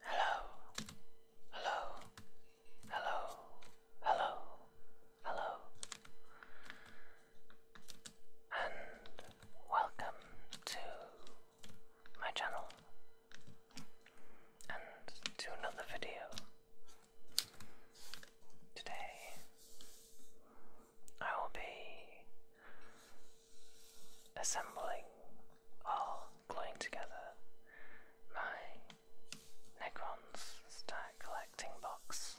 Hello, hello, hello, hello, hello, and welcome to my channel and to another video. Today I will be assembling all gluing together my Necrons Star Collecting Box.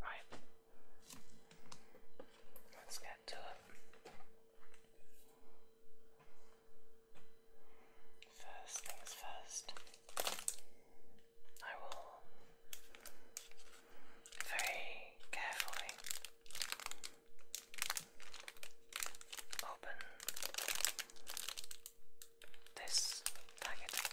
Right. Let's get to it. First things first, I will very carefully open this packet of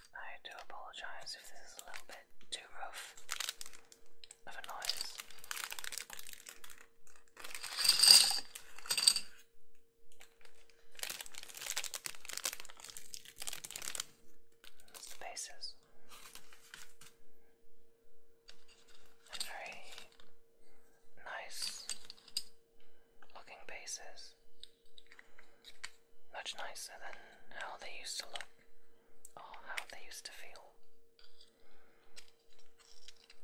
I do apologize if this is a little bit too rough of a noise. That's very nice looking bases. Much nicer than how they used to look or how they used to feel.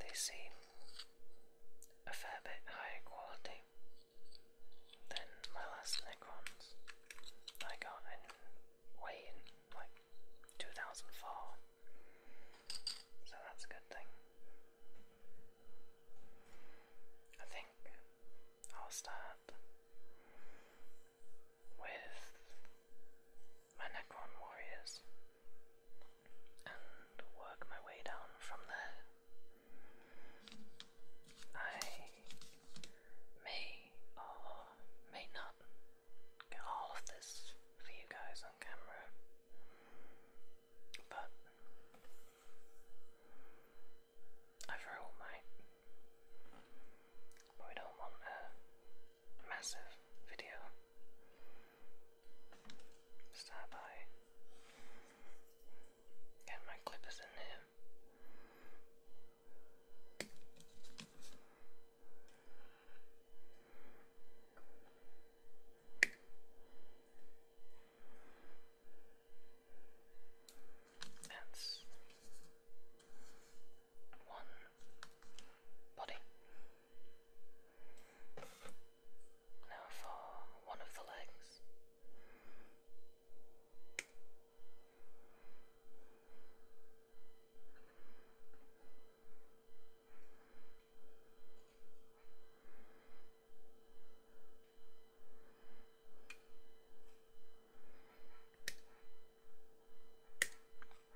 They seem a fair bit higher quality than my last Necrons I got in way like 2004. So that's a good thing. I think I'll start with my Necron warriors and work my way down from there. I may or may not get all of this for you guys on camera, but overall, mate. But we don't want a massive video. Start by my clippers in there. That's one body. Now for one of the legs.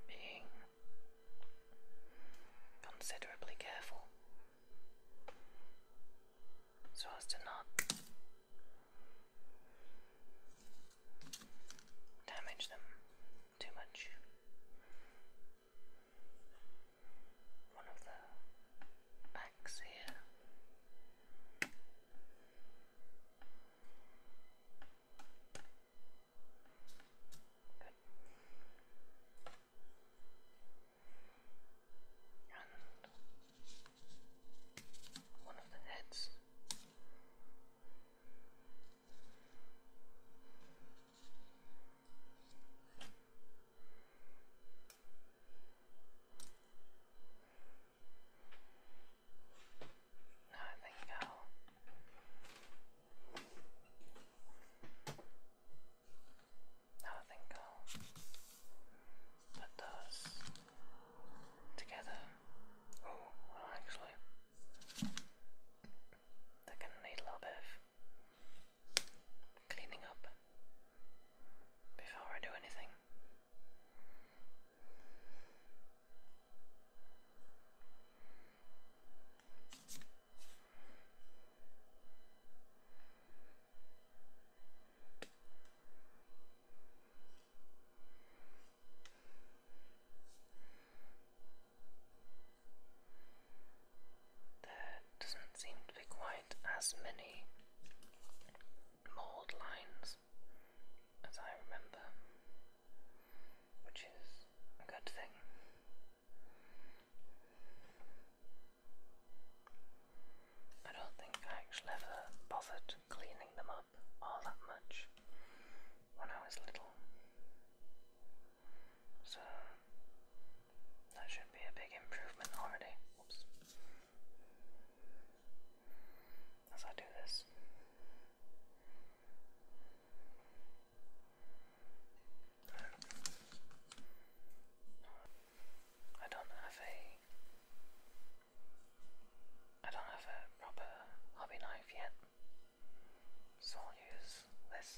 Being considerably careful so as to not damage them too much. One of the backs here Good. And one of the heads. Good. No, there you go. Now I think I'll together. Oh, well actually, they're going need a little bit of cleaning up before I do anything. There doesn't seem to be quite as many Mold lines, as I remember, which is a good thing. I don't think I actually ever bothered cleaning them up all that much when I was little. So that should be a big improvement already as I do this. I don't have a I don't have a proper hobby knife yet, so I'll use this.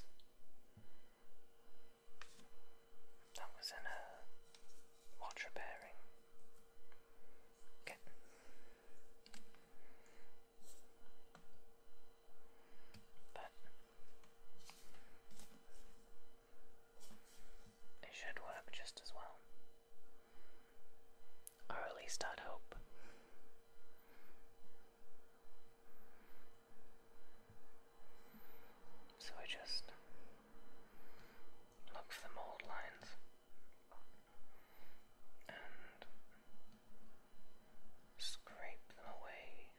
That was in a watch repairing Okay. But it should work just as well. Or at least i hope. So I just look for the mold lines. And scrape them away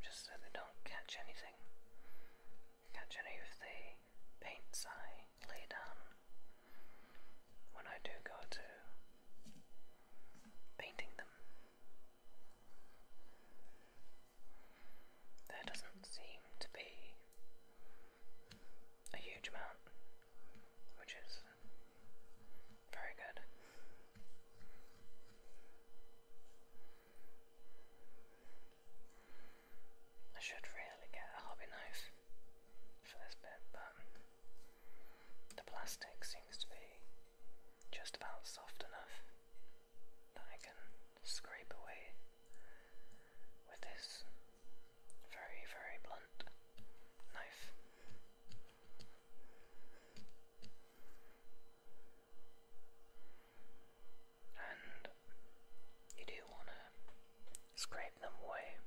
just so they don't catch anything. Catch any of the paints I lay down when I do go to painting them. There doesn't seem to be a huge amount, which is very good. I should really get a hobby knife for this bit, but the plastic seems to be just about soft enough that I can scrape away with this very, very blunt knife. And you do want to scrape them away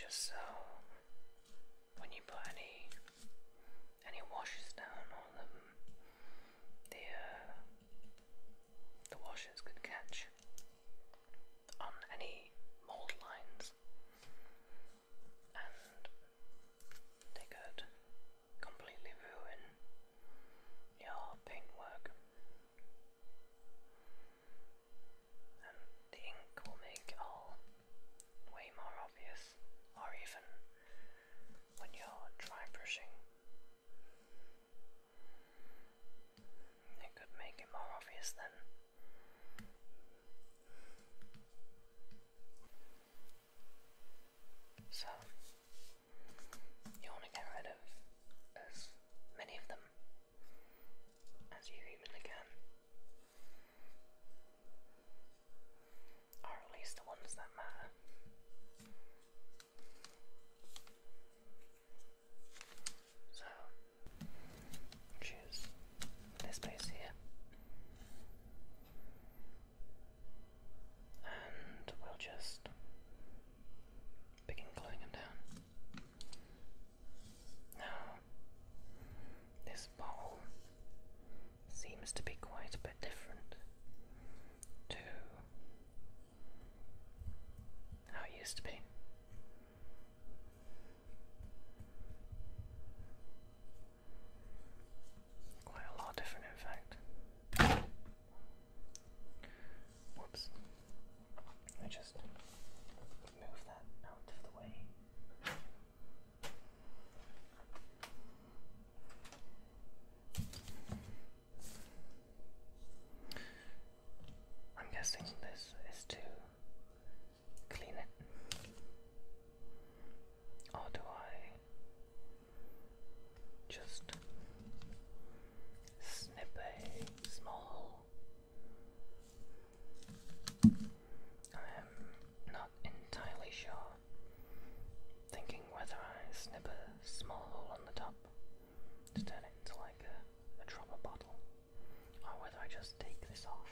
just so when you put any any washes down on them the uh, the washers could catch on any mold lines, and they could completely ruin your paintwork. And the ink will make all way more obvious, or even when you're dry brushing. It could make it more obvious then. So, you want to get rid of as many of them as you humanly can. Or at least the ones that matter. So, choose this base here. And we'll just begin gluing them down. Now, this bottle seems to be quite a bit different to how it used to be. Quite a lot different, in fact. Whoops. I just move that out of the way. I'm guessing this is to clean it. Or do I just snip a small? I am not entirely sure thinking whether I snip a small hole on the top to turn it into like a, dropper bottle, or whether I just take this off.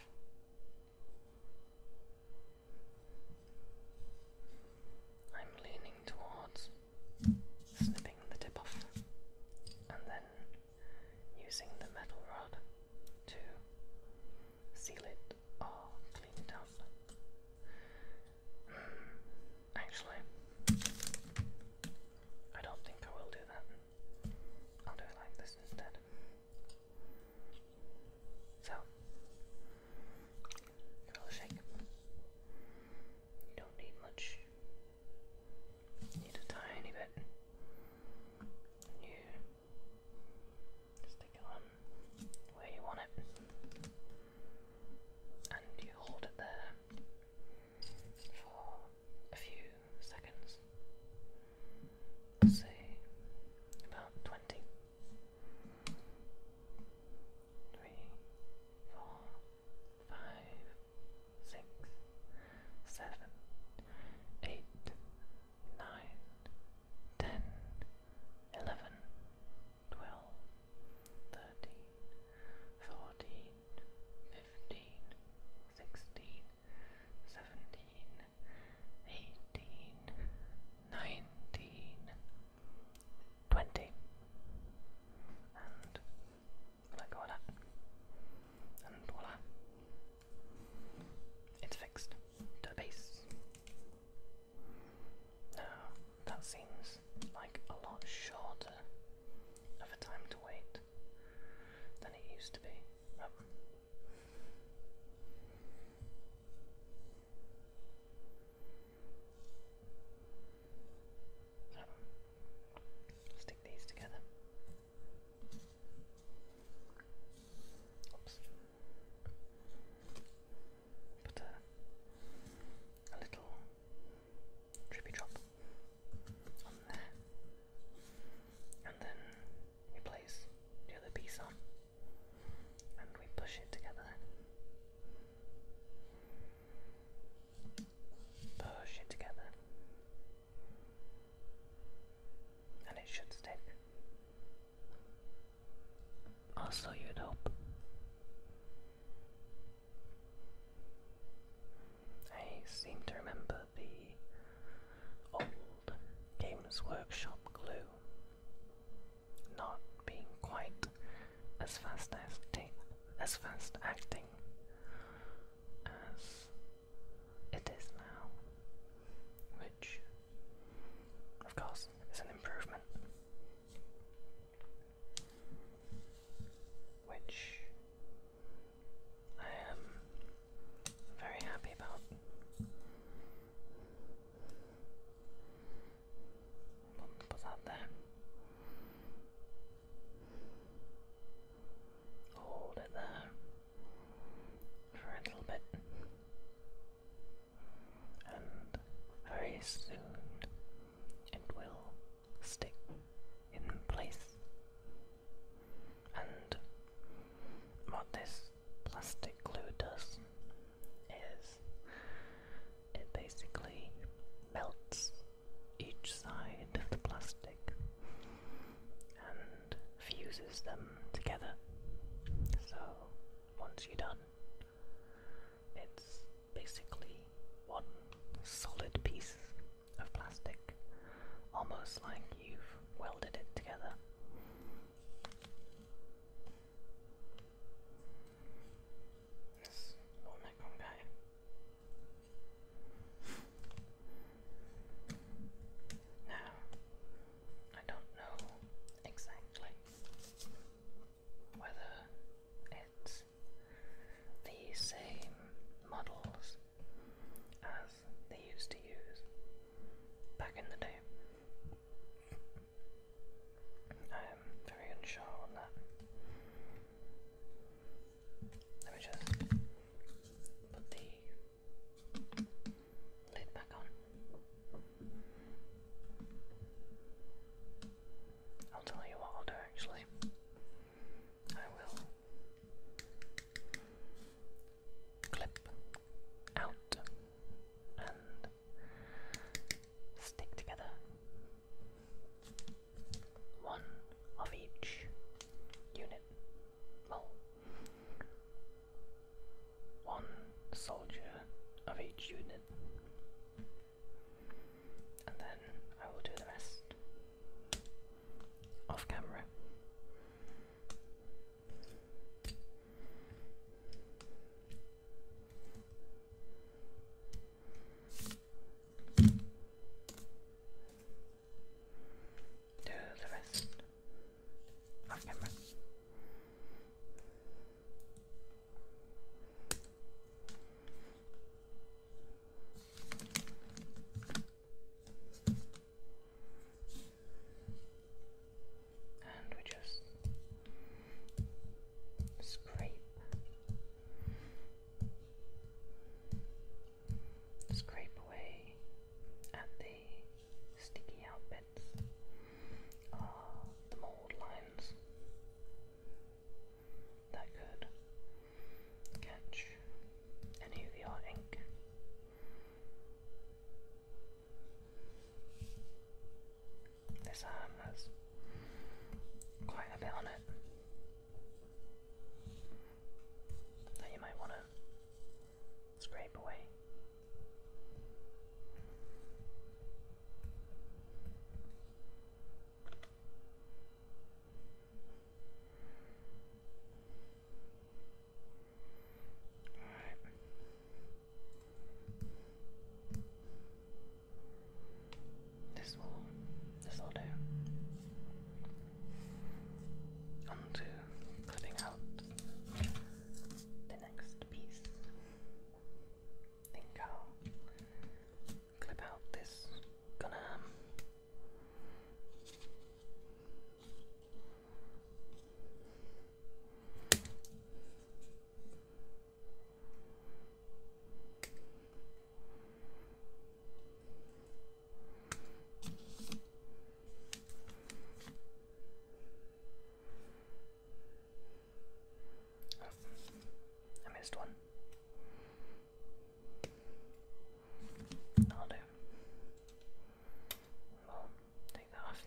I'm leaning towards snipping the tip off and then using the metal rod to seal it Oh, clean it up. Hmm, actually, I don't think I will do that. I'll do it like this instead. So, You don't need much. need a tiny bit. You stick it on where you want it and you hold it there for a few seconds, say about 20. Three, four, five, six, seven, eight, nine, ten, eleven, twelve, thirteen, fourteen, fifteen, sixteen, seventeen, eighteen, nineteen, twenty. And let go of that. And voila. It's fixed to base. Now, that seems like a lot shorter of a time to wait than it used to be. Oh. Stick these together. Oops. But a little trippy drop on there, and then we place the other piece on, and we push it together. Push it together, and it should stick. Also, you'd hope. I seem to remember the old Games Workshop glue not being quite as fast acting, as fast acting as it is now, which, of course, is an improvement which I am very happy about. Hold it there for a little bit and very soon it will stick in place. And what this plastic glue does is it basically melts each side of the plastic and fuses them together. So once you're done, it's basically one solid piece of plastic, almost like you've welded it together. This little guy. Now, I don't know exactly whether it's the same models as they used to use back in the day. I am very unsure on that. Let me just put the lid back on. I'll tell you what I'll do actually. I will clip out and stick together one of each unit. Well, one soldier of each unit and then I will do the rest off camera. Do the rest off camera. And we just scrape, scrape away at the sticky out bits the mold lines that could catch any of the ink. This arm has quite a bit on it that you might want to scrape away right. This will this will do. On cutting out the next piece think I'll clip out this gunner. Um, I missed one. I'll do. Well, take that off.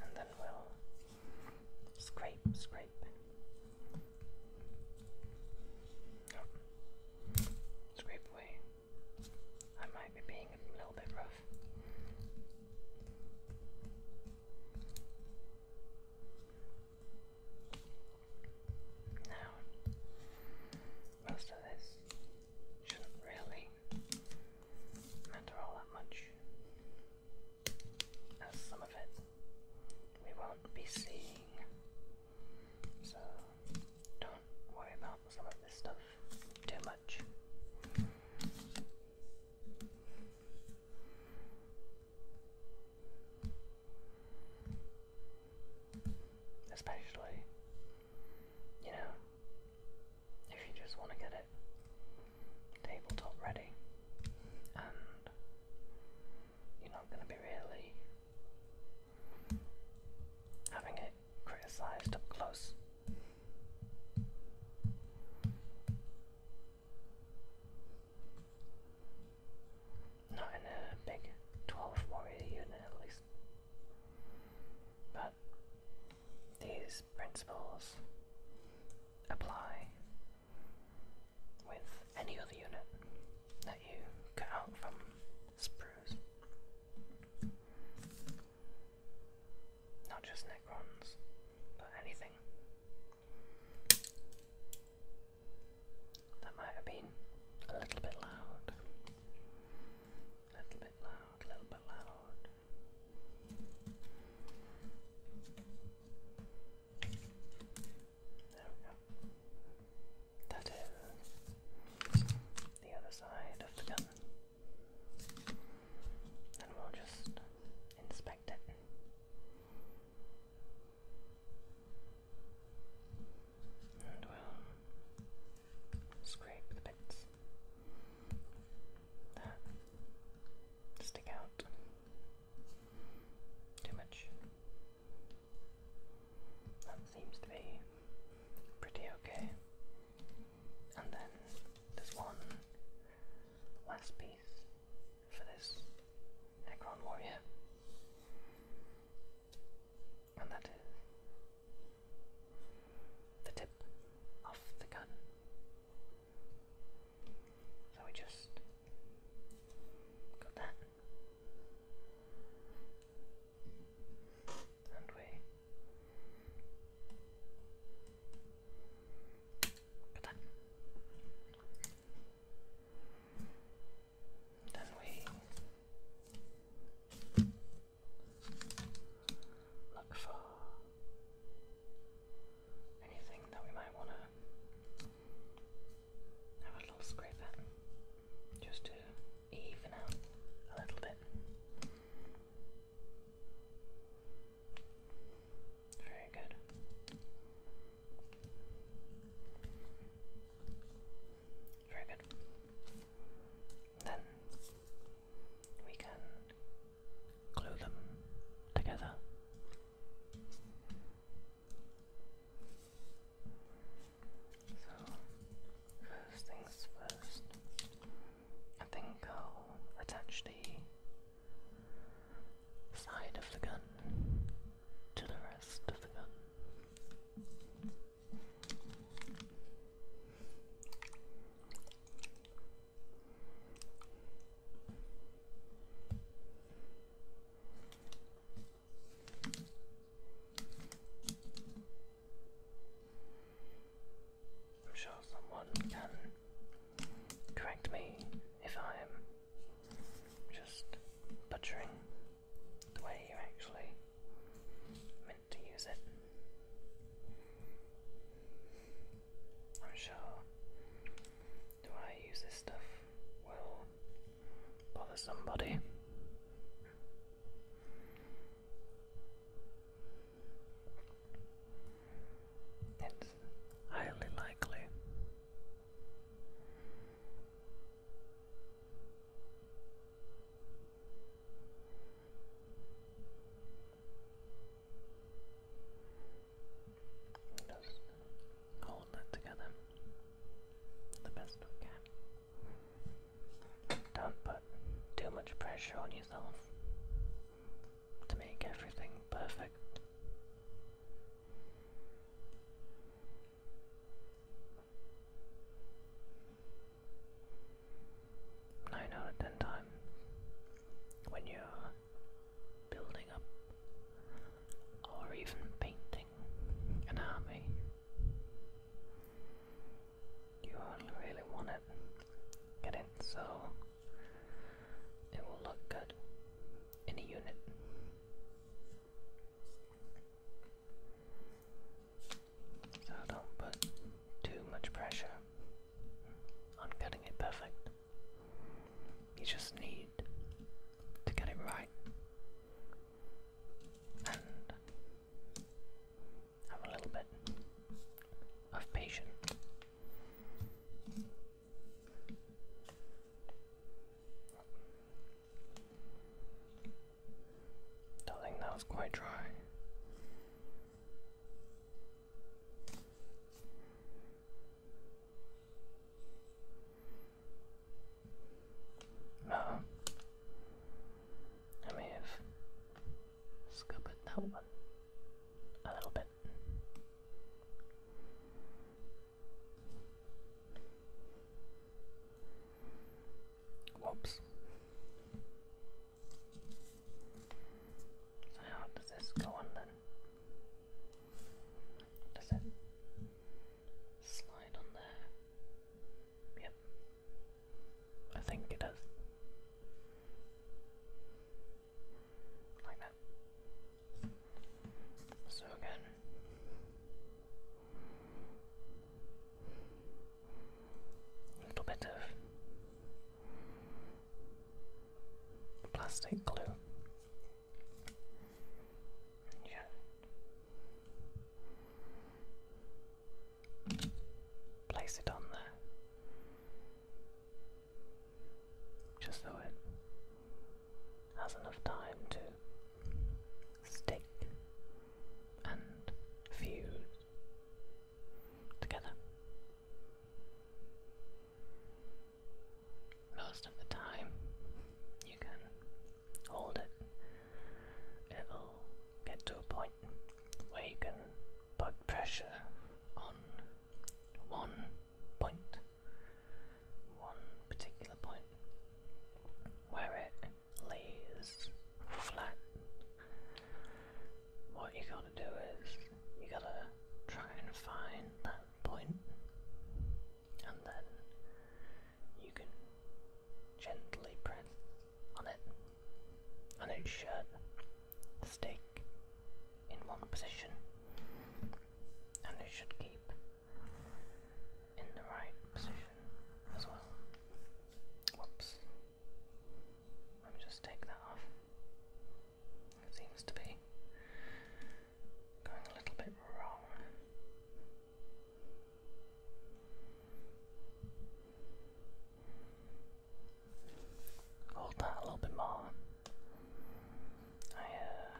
And then we'll scrape, scrape. Scrape away. I might be being a little bit rough. Now, most of this shouldn't really matter all that much, as some of it we won't be seeing. So, don't worry about some of this stuff too much. Especially, you know, if you just want to get it tabletop ready and you're not going to be really having a criticized up close. Not in a big 12 warrior unit at least. But these principles apply with any other unit that you cut out from sprues. Not just Necrons, but anything. That might have been a little bit loud. A little bit loud, a little bit loud. There we go. That is the other side of the gun and we'll just inspect it. And we'll scrape the bits that stick out too much. That seems to be pretty okay and then there's one last piece for this Necron warrior, and that is the tip of the gun. So we just got that, and we Good luck. Then we look for anything that we might want to have a little scrape just to even out a little bit. Very good. Very good. Then we can glue them together. So, first things first. I think I'll attach the side of the gun to the rest of the gun. I'm sure someone can correct me if I'm just butchering the way you actually meant to use it. I'm sure Do I use this stuff will bother somebody. It's highly likely. Just hold that together the best we can. Don't put too much pressure on yourself to make everything perfect. Nine out of times when you're building up or even painting an army, you only really want it, get it so it will look good in a unit. So don't put too much pressure on getting it perfect. You just need to get it right have a little bit of patience. do think that was quite dry. No. I may have scoop it that one a little bit. Whoops. So how does this go on then? Does it slide on there? Yep. I think it is. Like that. So again. A little bit of plastic glue. Yeah. Place it on there. Just so it has enough time to stick and fuse together. Most of the time, you can hold it, it'll get to a point where you can put pressure on one point, one particular point, where it lays flat. What you gotta do is you gotta try and find that point, and then you can gently press on it, on its shirt, the in one position, and it should keep in the right position as well. Whoops. Let me just take that off. It seems to be going a little bit wrong. Hold that a little bit more. I uh,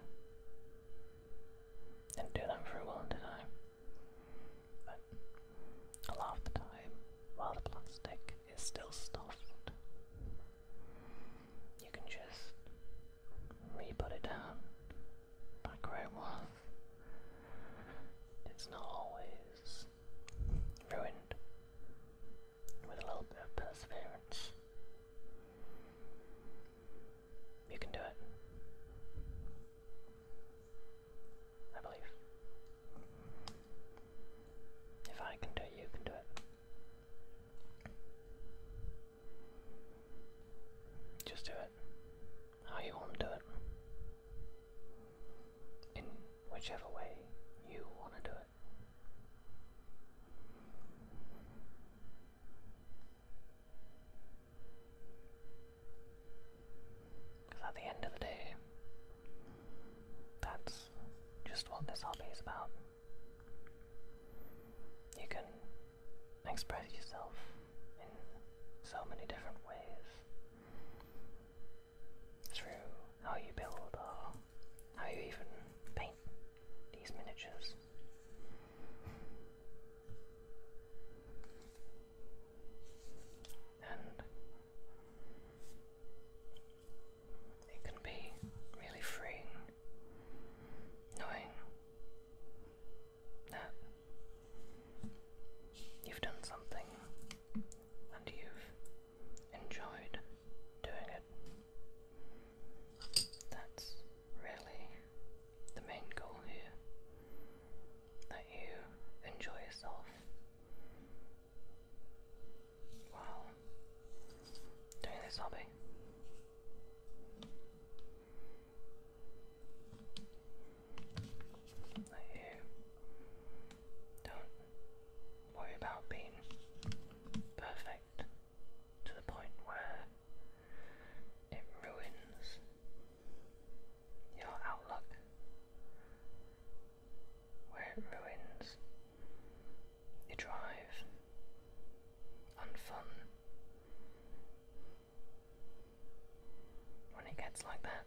didn't do that very well, did I? But a lot of the time, while the plastic is still soft, you can just re-put it down back where it was. It's not always ruined with a little bit of perseverance. You can do it. I believe. If I can do it, you can do it. Just do it how you want to do it. In whichever way you want to do it. Because at the end of the day, that's just what this hobby is about. You can express yourself in so many different ways through how you build how you even paint these miniatures. And it can be really freeing knowing that you've done something and you've enjoyed doing it. That's really the main goal here that you enjoy yourself while doing this hobby. That you don't worry about being perfect to the point where it ruins your outlook, where it ruins your drive and fun. When it gets like that,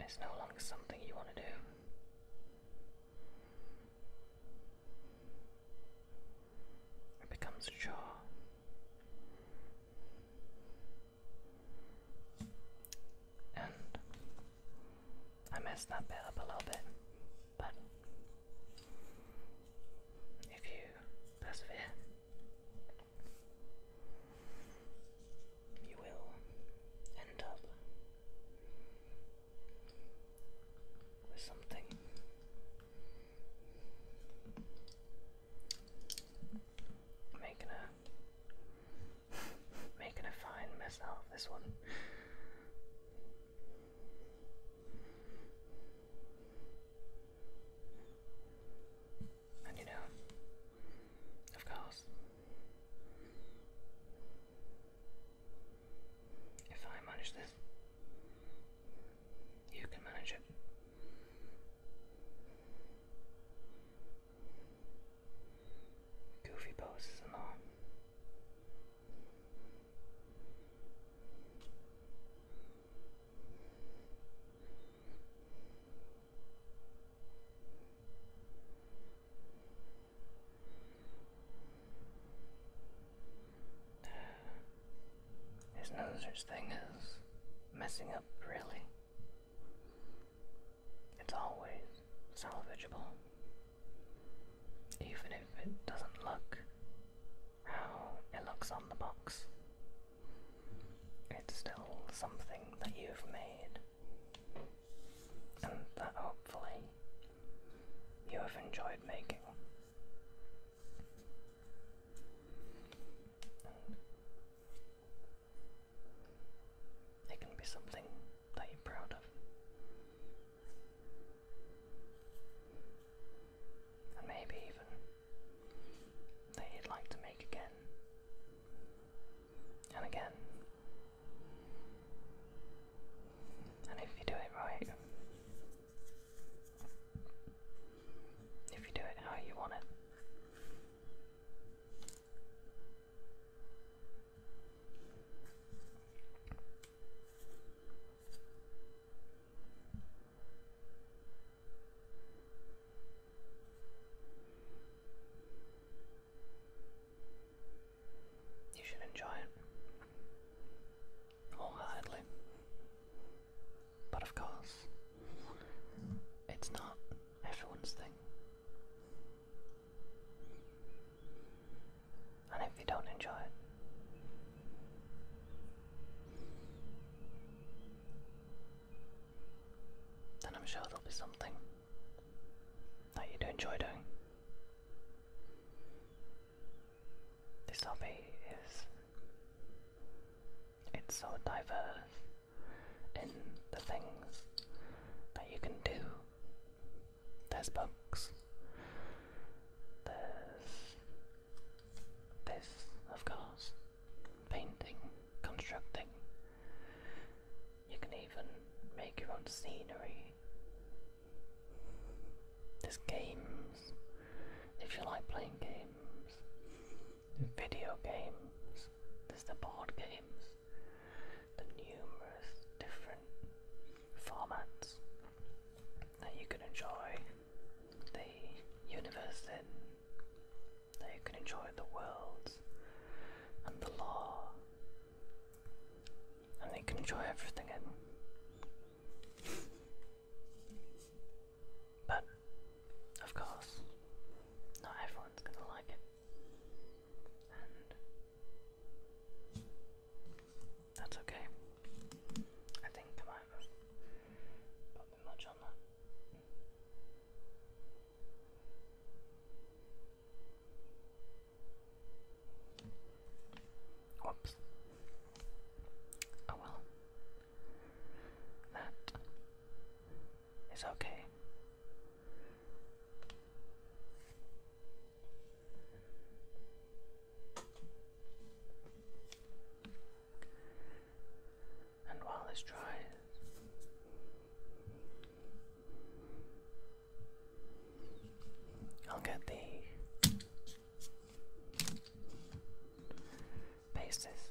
it's no longer something you want to do. It becomes a chore. And I messed that bit up a little bit, but if you persevere, you will end up with something making a making a fine mess out of this one. And you know, of course, if I manage this, you can manage it. Goofy poses and all. There's no such thing as messing up, really. It's always salvageable, even if it doesn't look how it looks on the box. It's still something that you've made, and that hopefully you have enjoyed making. it can be something that you're proud of. And maybe even that you'd like to make again and again. And if you do it right, if you do it how you want it, you should enjoy it wholeheartedly. But of course, it's not everyone's thing. And if you don't enjoy it, then I'm sure there'll be something that you do enjoy doing. This hobby is it's so diverse in the things that you can do. There's books. There's this, of course. Painting constructing. You can even make your own scenery. There's games, if you like playing games, video games, there's the board games, the numerous different formats that you can enjoy the universe in. They can enjoy the world and the law, and they can enjoy everything in. but, of course, not everyone's gonna like it. And that's okay. I think I have put me much on that. Whoops. Oh well. That is okay and while this dries, I'll get the basis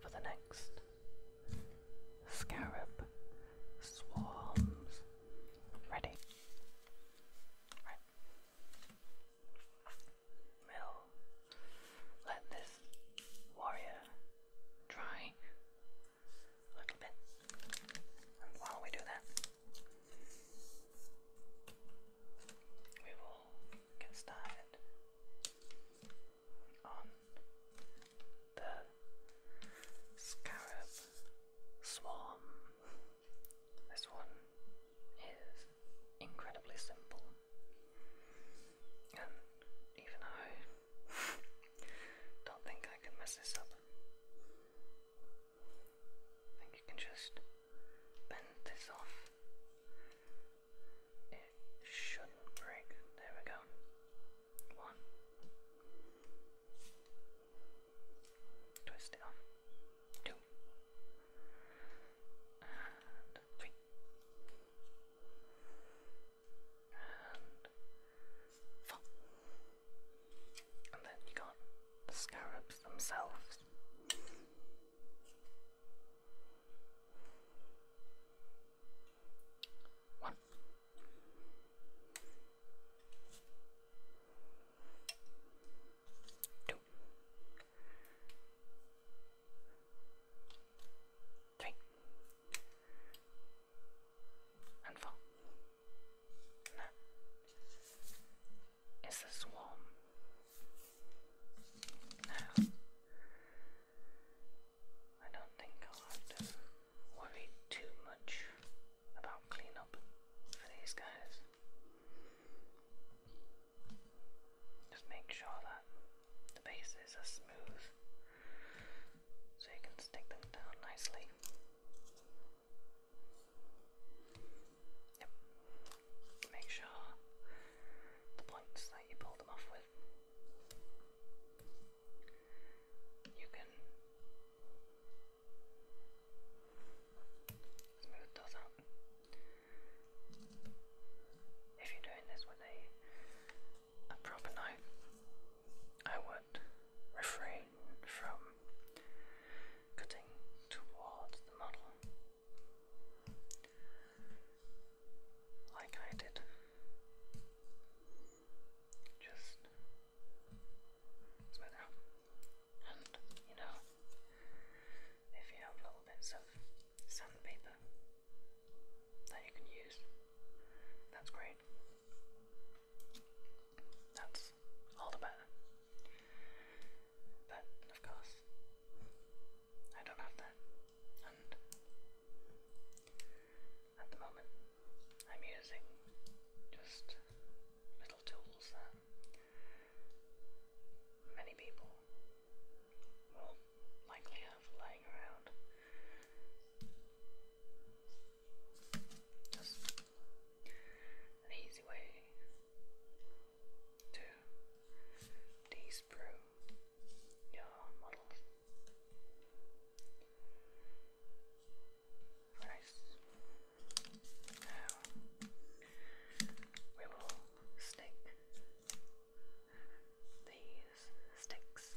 for the next scarab swarms ready. Right. Mill, let this warrior dry a little bit. while we do that, we will get started on the scarab swarm. This one is incredibly simple, and even though don't think I can mess this up. I think you can just bend this off. It shouldn't break. There we go. One. Twist it on. Two. And three and then you got the scarabs themselves. One. Two three, and four. Is this warm? No. I don't think I'll have to worry too much about cleanup for these guys. Just make sure that the bases are smooth so you can stick them down nicely. Yep. Make sure the points that you pull them off with. You can smooth those out. If you're doing this with a a proper night, I would refrain from cutting toward the model like I did. Just smooth out. And you know, if you have little bits of sandpaper that you can use. That's great. That's all the better. But of course, I don't have that, and at the moment, I'm using just little tools that many people will likely have lying around. Just an easy way to disprove your models. Nice. Now we will stick these sticks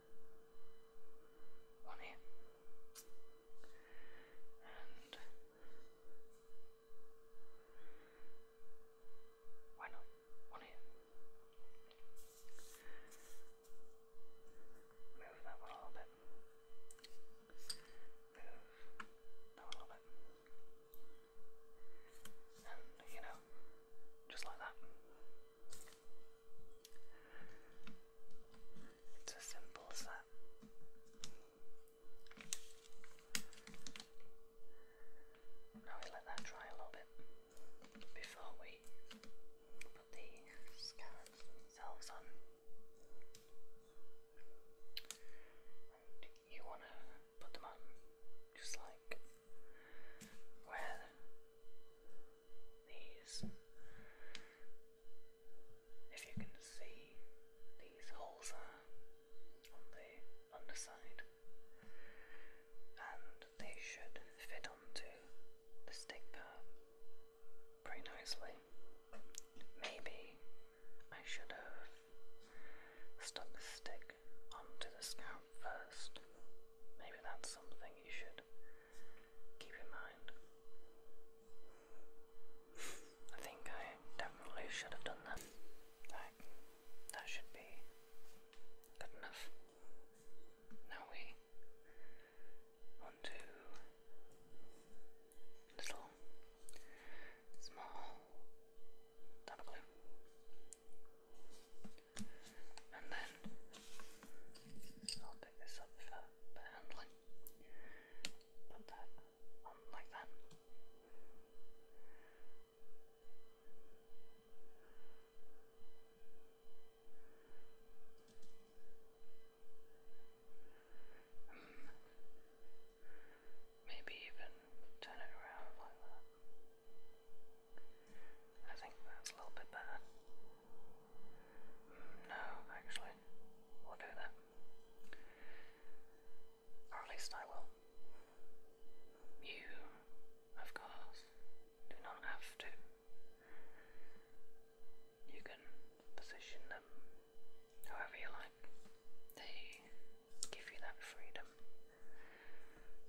on oh, here. And why not? One here. Move that one a little bit. Move that a little bit. And you know, just like that. It's as simple as that. Now we let that dry a little bit before we put the scallops themselves on. you want to put them on just like where these. If you can see, these holes are on the underside, and they should fit onto the stick part pretty nicely. Maybe I should have stuck the stick onto the scalp first. Maybe that's something you should keep in mind. I think I definitely should have done that. that should be good enough. Now we want little small dot glue and then I'll pick this up for, handling. Put that on like that. Hmm. Maybe even turn it around like that. I think that's a little bit better. No, actually, we'll do that. Or at least I will. You, of course, do not have to. You can position them however you like. They give you that freedom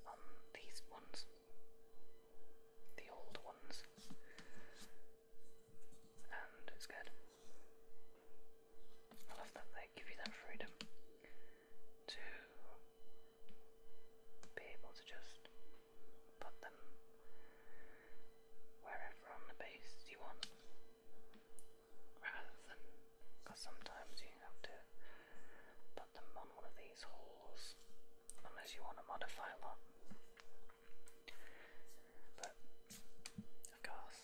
on these ones the old ones, and it's good. I love that they give you that freedom to be able to just put them wherever on the base you want, rather than because sometimes you have to put them on one of these holes unless you want to modify a lot. But of course,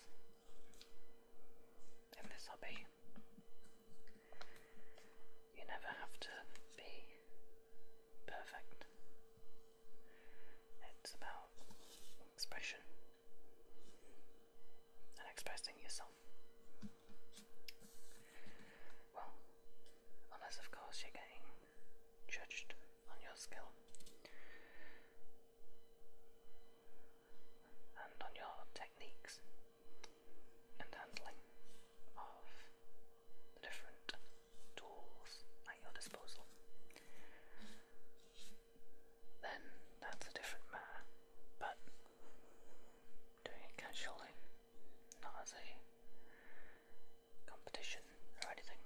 in this hobby, you never have to be perfect. It's about expression and expressing yourself. Well, unless of course you're getting judged on your skill and on your techniques and handling of the different tools at your disposal, then that's a different matter. But doing casually not as a competition or anything.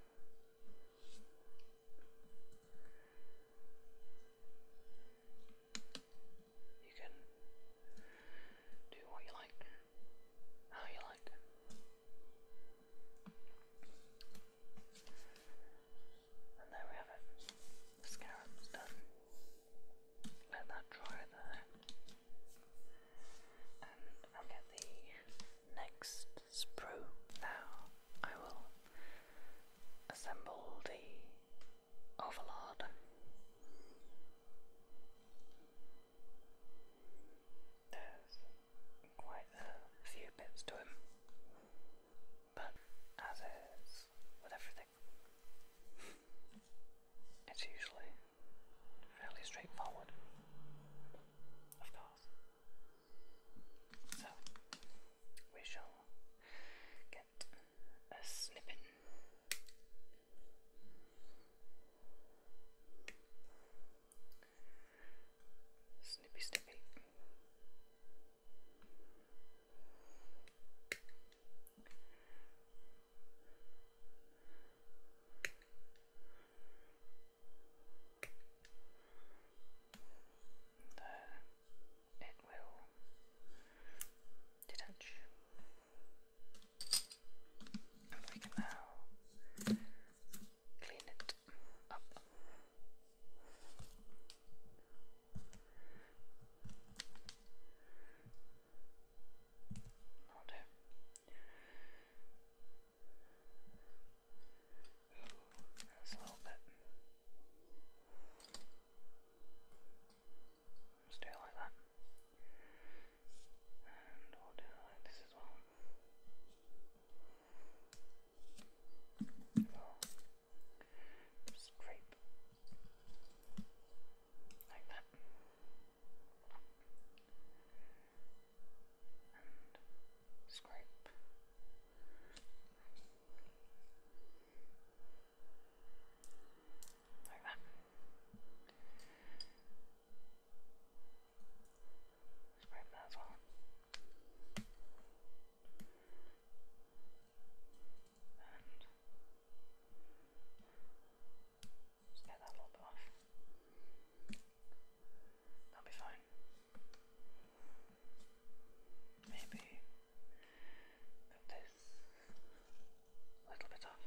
You can do what you like, how you like. And there we have it. The scarab's done. Let that dry there and I'll get the next sprue. Now I will assemble the overlord. There's quite a few bits to him, but as is with everything, it's usually fairly straightforward, of course. So, we shall get a snippet. Snippy snippy then it will detach. And we can now clean it up. Not Ooh, that a little bit. do it like that. And we'll do this as well. we scrape like that and scrape. Like that. Scrape that as And just get that little bit off. That'll be fine. Maybe put this little bit off.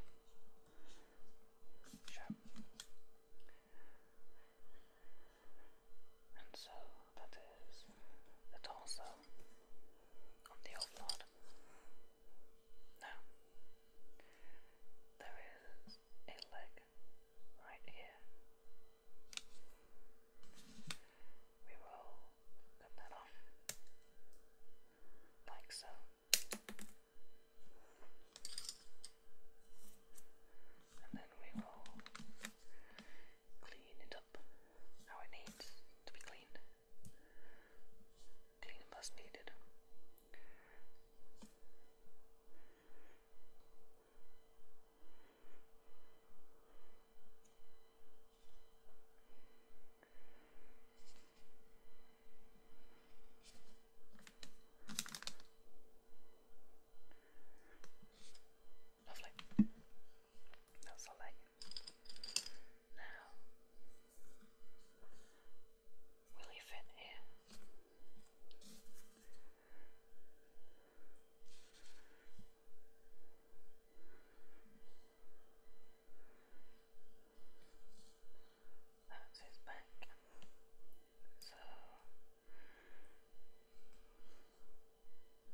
Sure. And so that is the torso on the old lord. Now, there is a leg right here. We will cut that off like so. And then we will clean it up how it needs to be cleaned. Clean as needed. Lovely. That's all that. Now Will he fit in? That's his back. So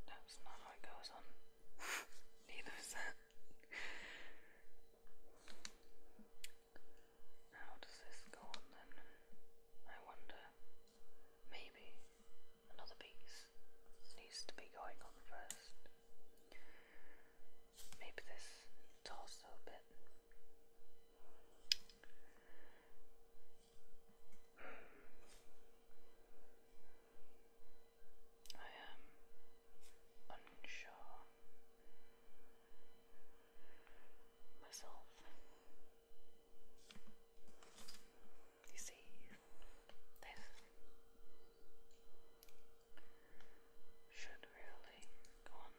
that's not how it goes on. Neither is that. How does this go on then? I wonder. Maybe another piece needs to be going on first. Maybe this torso bit. Hmm. I am unsure myself. You see, this should really go on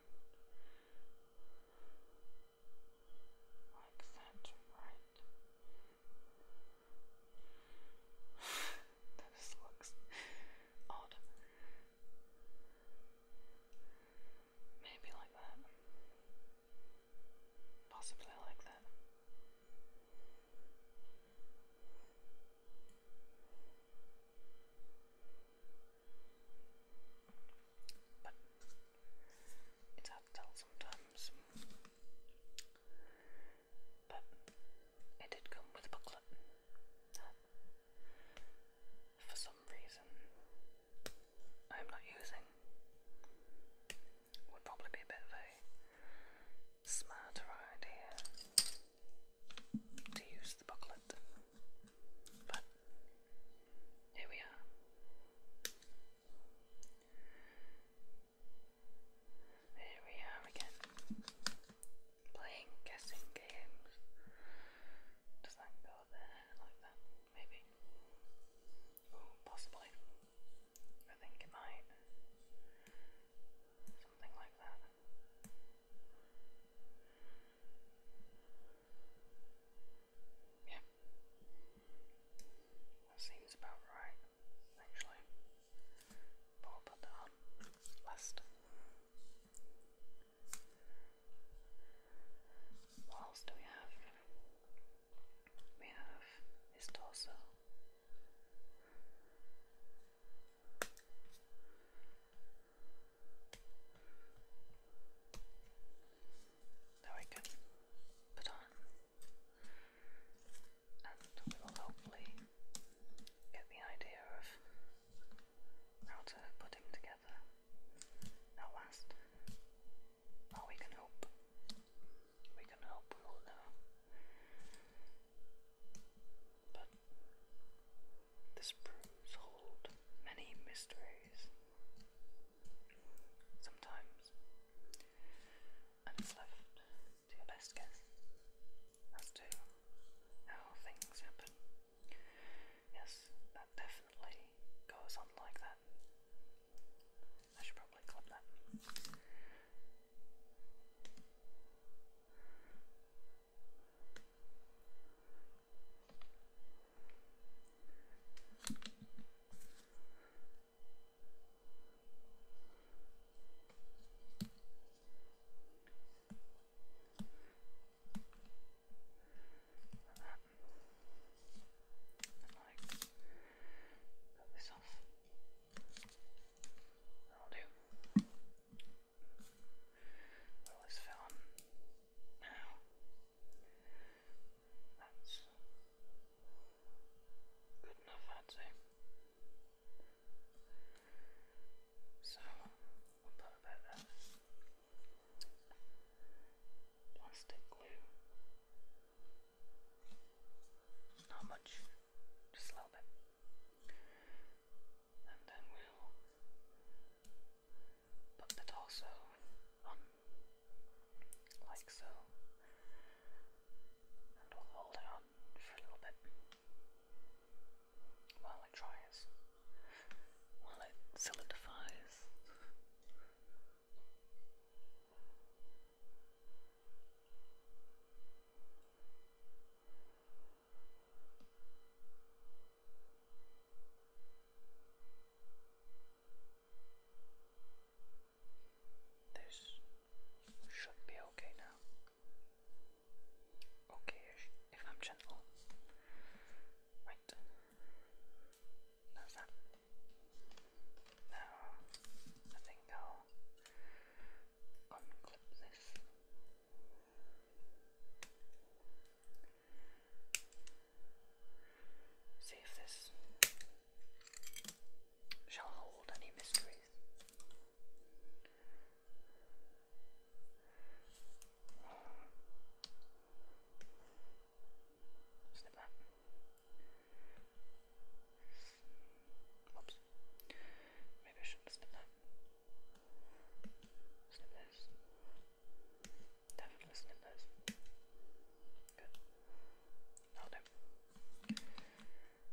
like that, right? this looks odd. Maybe like that. Possibly like that. But it's hard to tell sometimes. But it did come with a booklet for some reason I'm not using would probably be a bit of a smarter idea to use the booklet, but here we are. Here we are again, playing guessing games. Does that go like that, maybe. Oh, possibly. I think it might. Something like that. Yeah. That seems about right, actually. But we'll put that on last. What else do we have? We have his torso. That we can put on, and we will hopefully get the idea of how to put him together at last. Oh, we can hope. We can hope we will know. But the brooms hold many mysteries. Sometimes, and it's left to your best guess as to how things happen. Yes, that definitely goes on like that. I should probably clip that like cut this off. That'll do. this film now. That's good enough, I'd So we'll put a bit plastic glue. Not much, just a little bit. And then we'll put the torso on, like so. And we'll hold it on for a little bit while it dries while it solidifies. This should be okay now. Okay, if I'm gentle. Right. No, is I think I'll unclip this. See if this shall hold any mysteries. Snip that. Whoops. Maybe I shouldn't snip that. Snip this. Definitely snip this. Good. I'll do.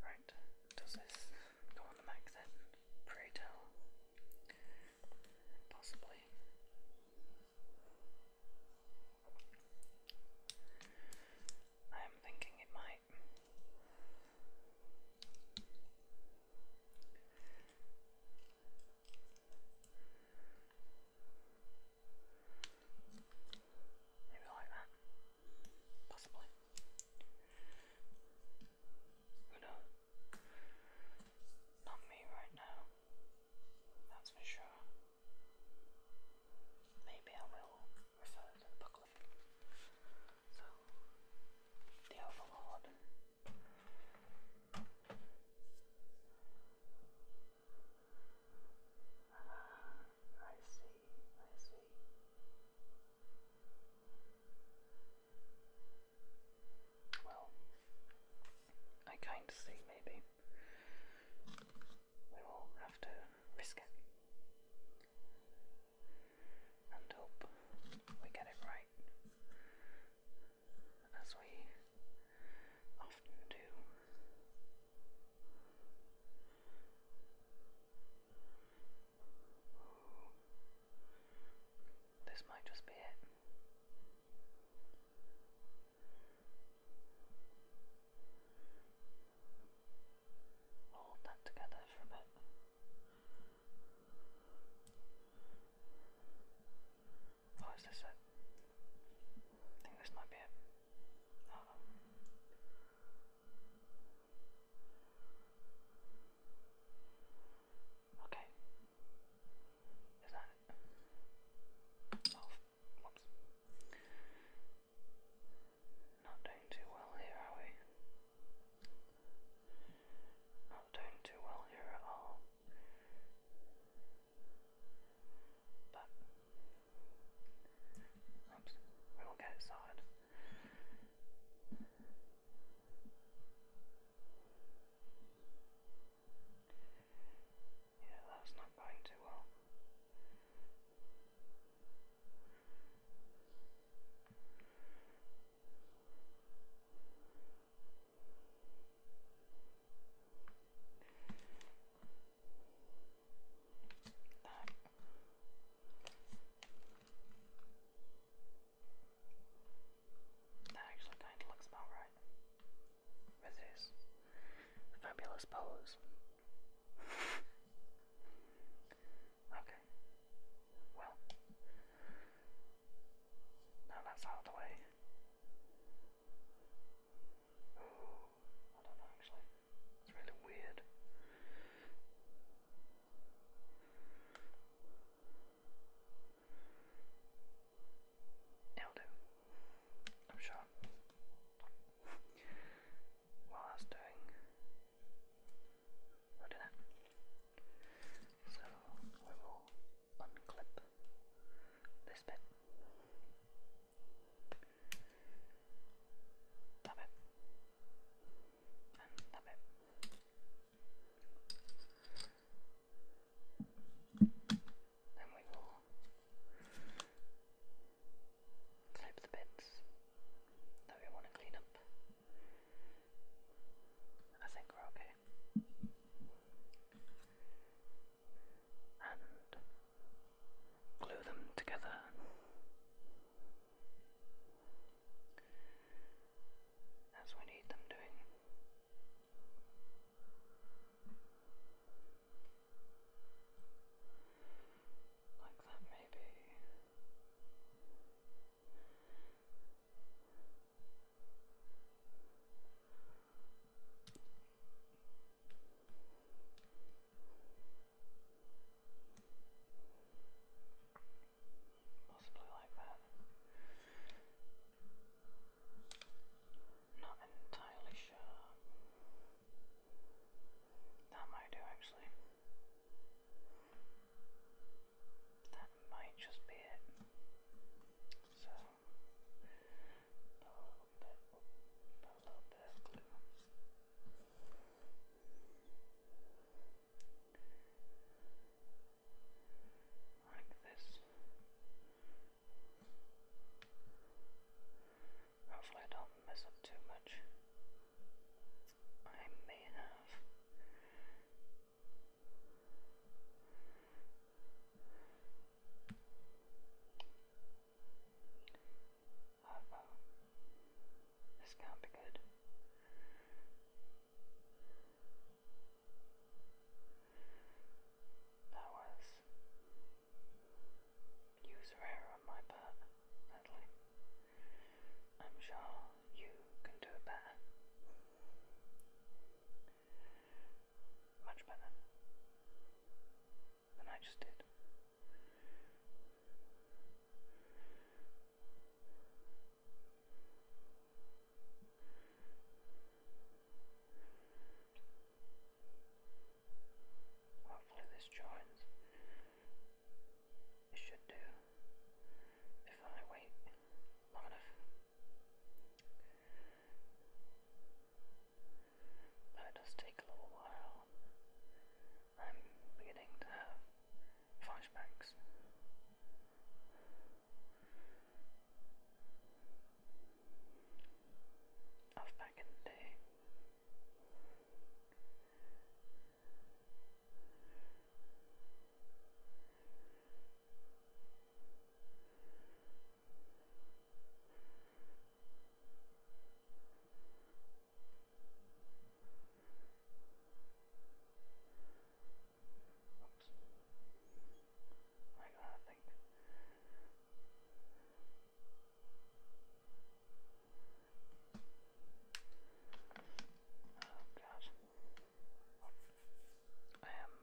Right. Does this go on the max then? Pray Possibly. I am thinking it might. Maybe like that. Possibly. Who knows? Not me right now, that's for sure. Maybe I will refer to the booklet. So, the Overlord. Ah, I see, I see. Well, I kind of see maybe we will have to risk it and hope we get it right, as we often do. This might just be it. Hold that together for a bit. Oh, is this it? I think this might be it. Oh. Okay, is that it? Oh, whoops. Not doing too well here, are we? Not doing too well here at all. But, oops, we will get it sorted. Yeah, that's not going too well. No. That actually kind of looks about right this fabulous pose. okay. Well, now that's out of the way. I don't know actually. It's really weird. It'll do. I'm sure. While I was doing we'll do that. So we will unclip this bit. That bit. And that then we will slip the bits that we want to clean up. I think we're okay. And glue them together. As we need them doing. Like that, maybe. Possibly like that. Not entirely sure. That might do actually. That might just be it. So, a little bit, a little bit Like this. Hopefully, I don't mess up too much. I may have. oh. This can't be good. That was user error on my part, sadly. I'm sure you can do better. Much better than I just did. Hopefully this joins. It should do. If I wait long enough. That does take a little while. I'm beginning to have flashbacks of back in the day. Oops. Like that something. Oh god. I am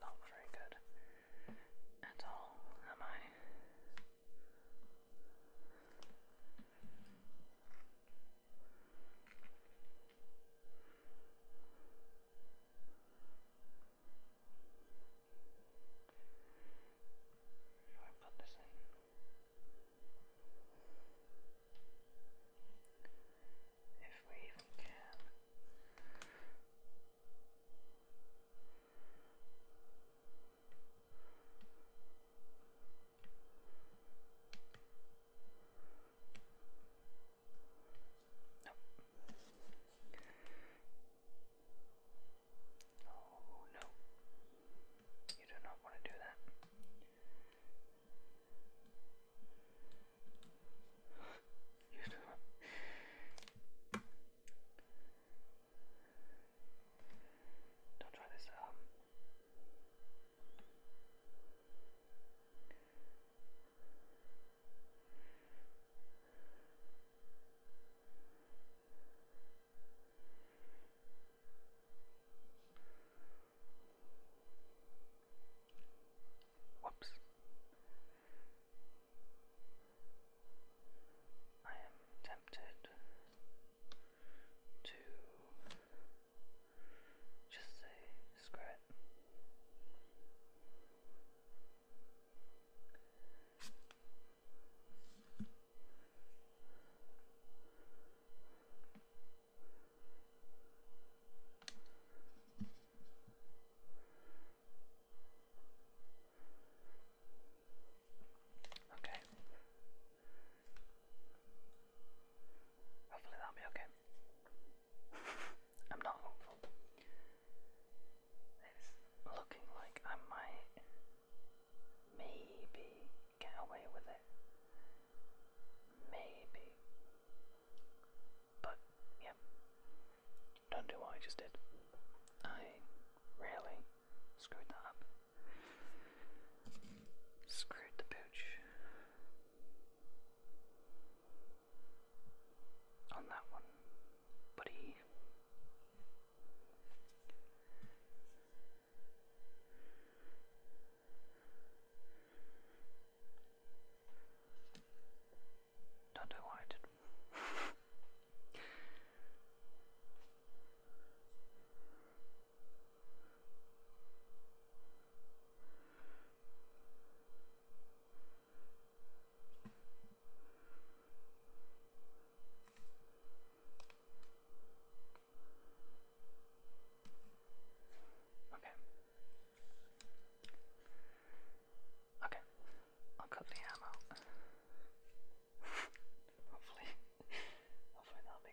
not very good at all, am I? Should I put this in? If we even can. Right. No. Oh no. You do not want to do that. you do not. Don't try this um Whoops. I am tempted to just say screw Okay. Hopefully that'll be okay. I'm not hopeful. It's looking like I might maybe get away with it. Maybe. But, yeah. Don't do what I just did. I really screwed that up. Screwed the pooch on that one, buddy. Don't know why I did. Okay. Okay. I'll cut the ammo. hopefully, hopefully that'll be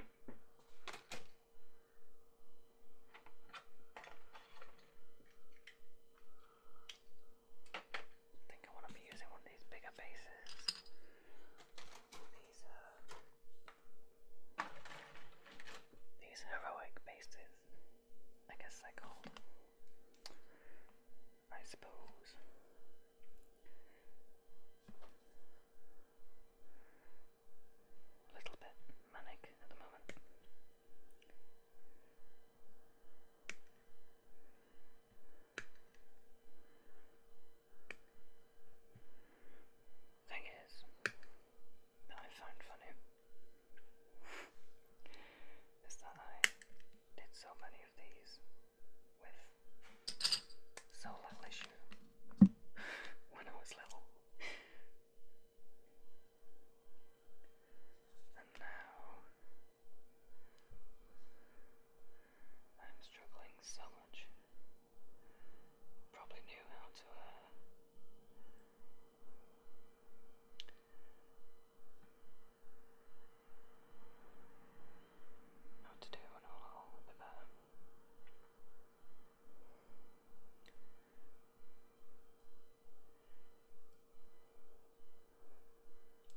good. I think I want to be using one of these bigger bases. These uh, these heroic bases, I guess they're called. I suppose a little bit manic at the moment. Thing is, I found funny is that I did so many of these with so lovely when I was little. and now I'm struggling so much. Probably knew how to uh, to do an a little bit better. Uh,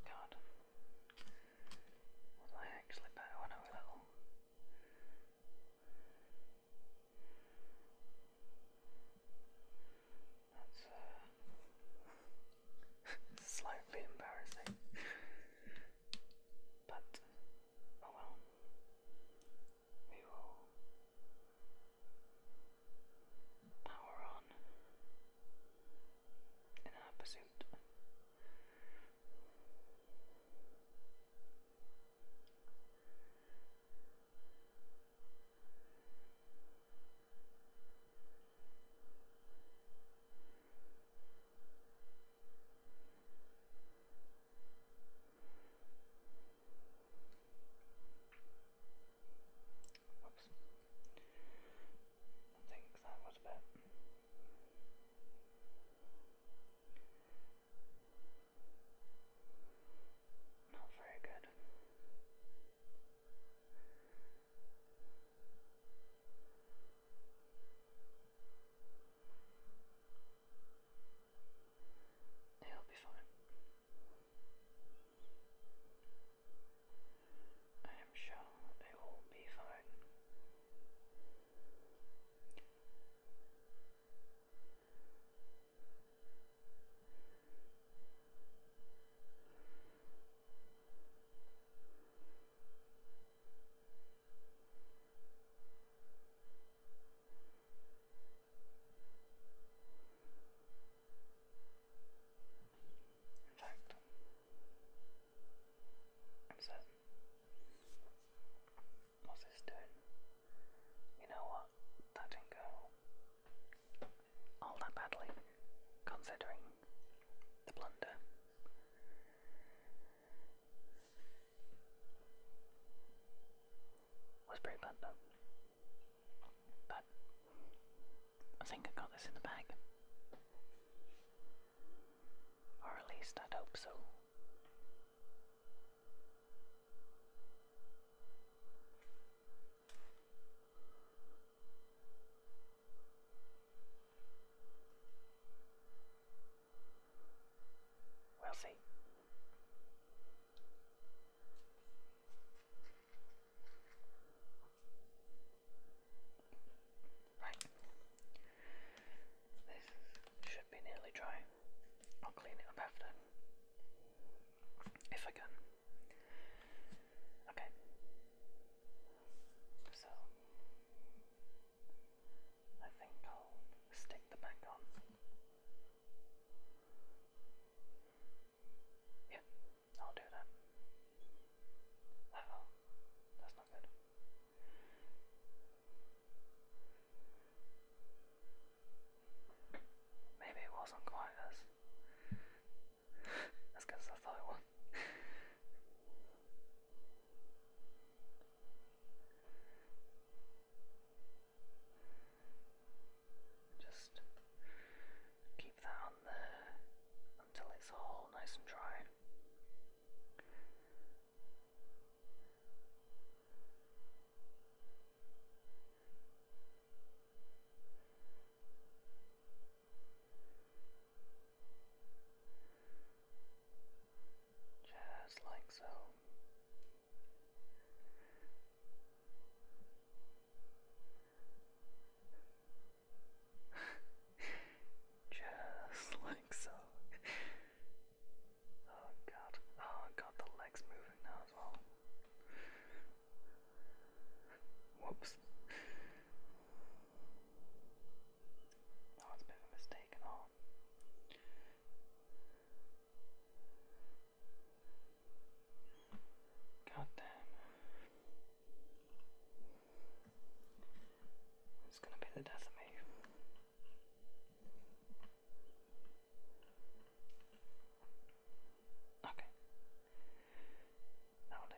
God. Was I actually better when I was little? That's uh, slightly embarrassing. but Oh well. We will power on in our pursuit. Whoops. I think that was a bit. Not very good. It'll be fine. I am sure it will be fine. In fact, I'm What's this doing? You know what? That didn't go all that badly, considering the blunder was pretty bad though. But I think I got this in the bag. Or at least i hope so. We'll see. Right. This should be nearly dry. I'll clean it up after. If I can. Okay. So I think I'll stick the back on. Yeah, I'll do that. oh, that's not good. Maybe it wasn't quite as as good as I thought it was. Just keep that on there until it's all nice and dry. Just like so. Just like so. Oh god. Oh god, the legs moving now as well. Whoops. Oh, it's a bit of a mistake and God damn. It's gonna be the death of me. Okay. That'll do.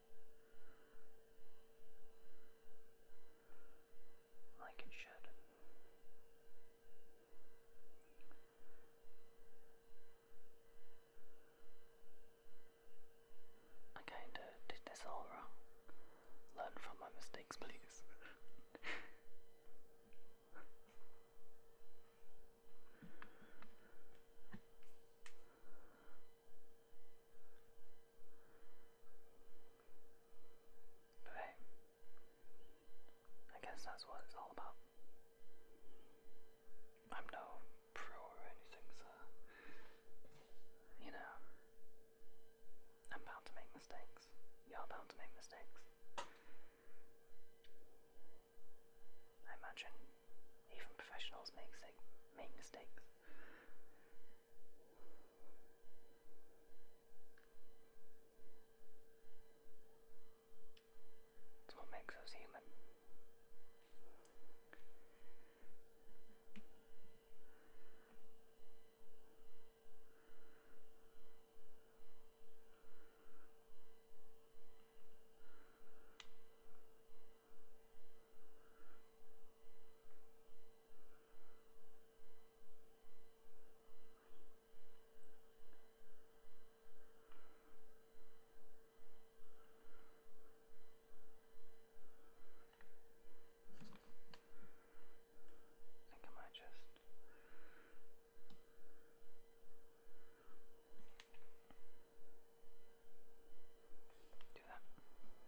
like it should. I kinda did this all wrong. Learn from my mistakes, please. Okay. I guess that's what it's all about. I'm no pro or anything, so you know, I'm bound to make mistakes. You're bound to make mistakes. I imagine even professionals make, make mistakes. It's what makes us human. I think I might just do that.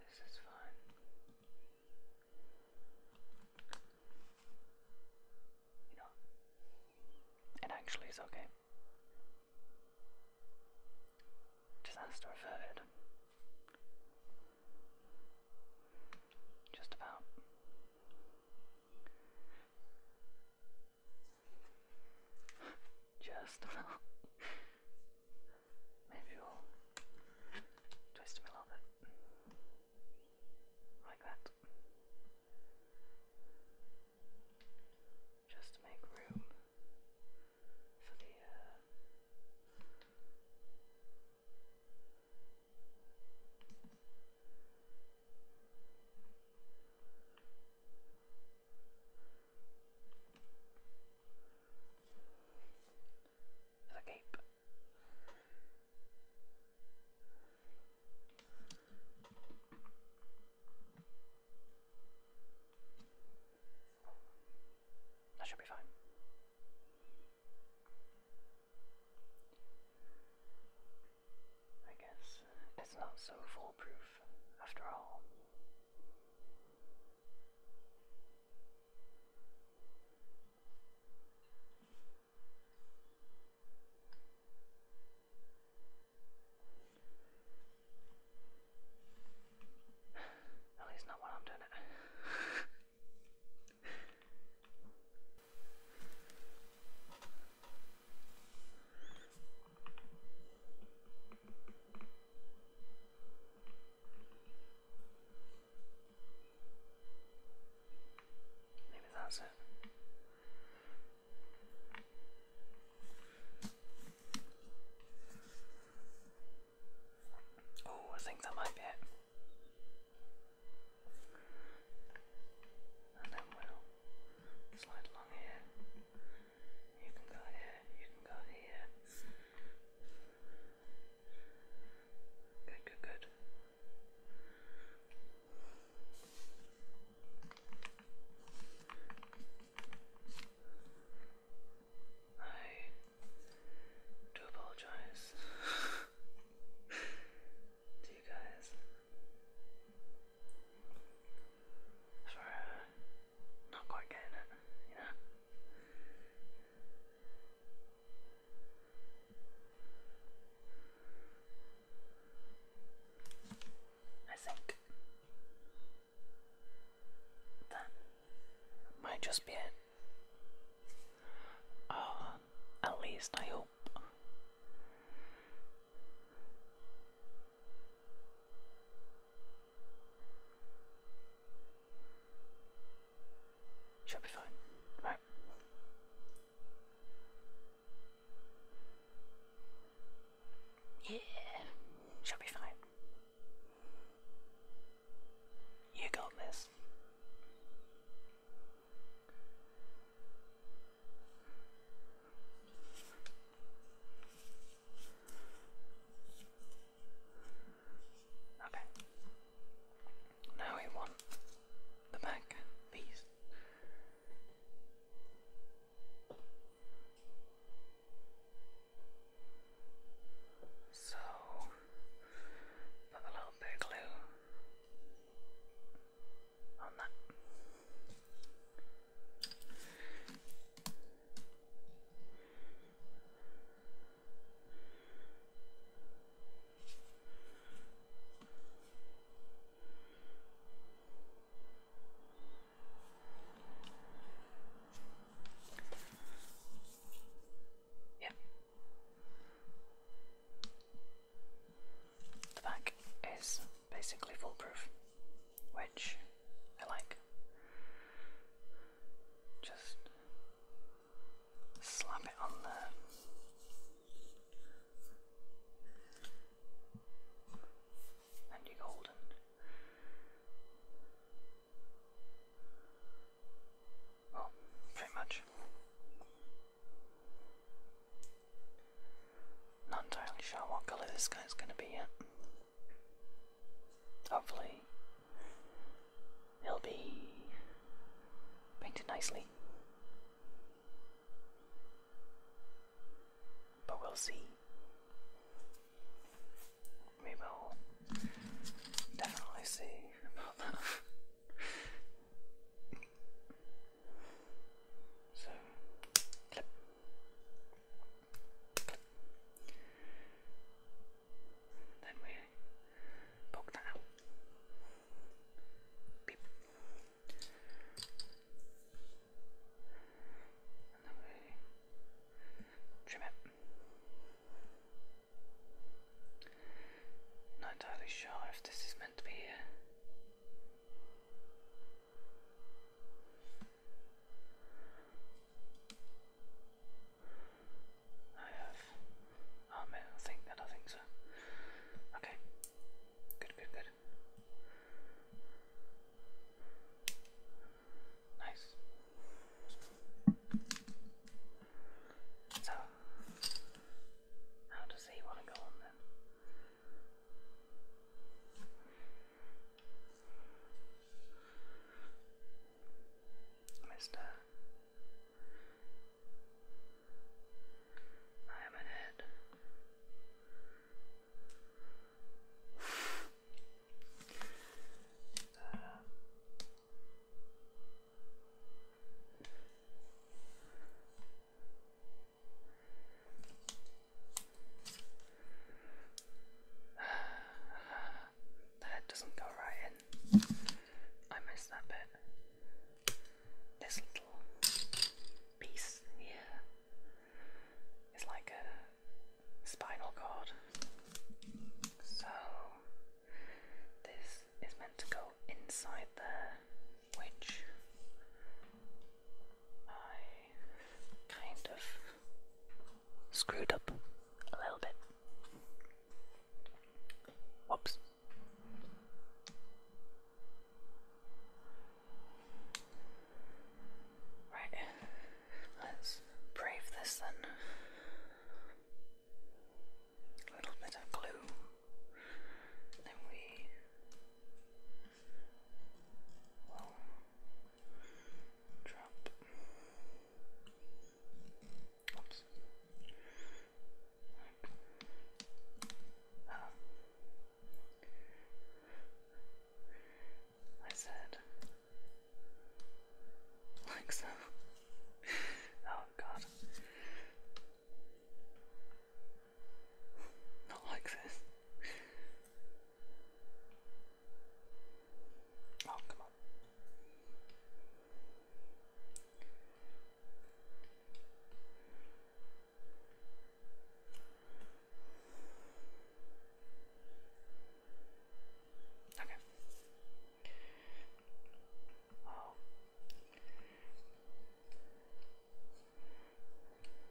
This is fine. You know, it actually is okay. Disaster averted. Just about. Just Maybe we'll twist him a little bit. Like that. Just to make room for the uh, there's cape. That should be fine. I guess uh, it's not so foolproof after all. At least not when I'm doing it. Maybe that's it. Oh, I think that might be it and then we'll slide along here. You can go here, you can go here. Good, good, good. I do apologize. to you guys for not quite getting it, you know. I think that might just be it. Uh, at least I hope. She'll be fine. Right. Yeah, should be fine. You got this. Okay. Now we want the back piece. So put a little bit of glue on that. Yep. The back is basically foolproof, which I like. Just slap it on there. And you're golden. Well, pretty much. Not entirely sure what colour this guy's gonna be yet. Hopefully, he'll be painted nicely. But we'll see. We will definitely see about that. So, Then we poke that out. And then we trim it. Not entirely sure if this is meant to be I have. Oh man, I think I think so. Okay. Good, good, good. Nice. So, how does he want to go on then? Mister, I am an head. That doesn't go right in. I missed that bit. This little piece here is like a spinal cord. So this is meant to go inside there, which I kind of screwed up a little bit. Whoops. Right, let's brave this then. A little bit of glue. Then we Wow. Drop. Oops. Oh. I said like so. oh god. Not like this. Oh, come on. Okay. Oh.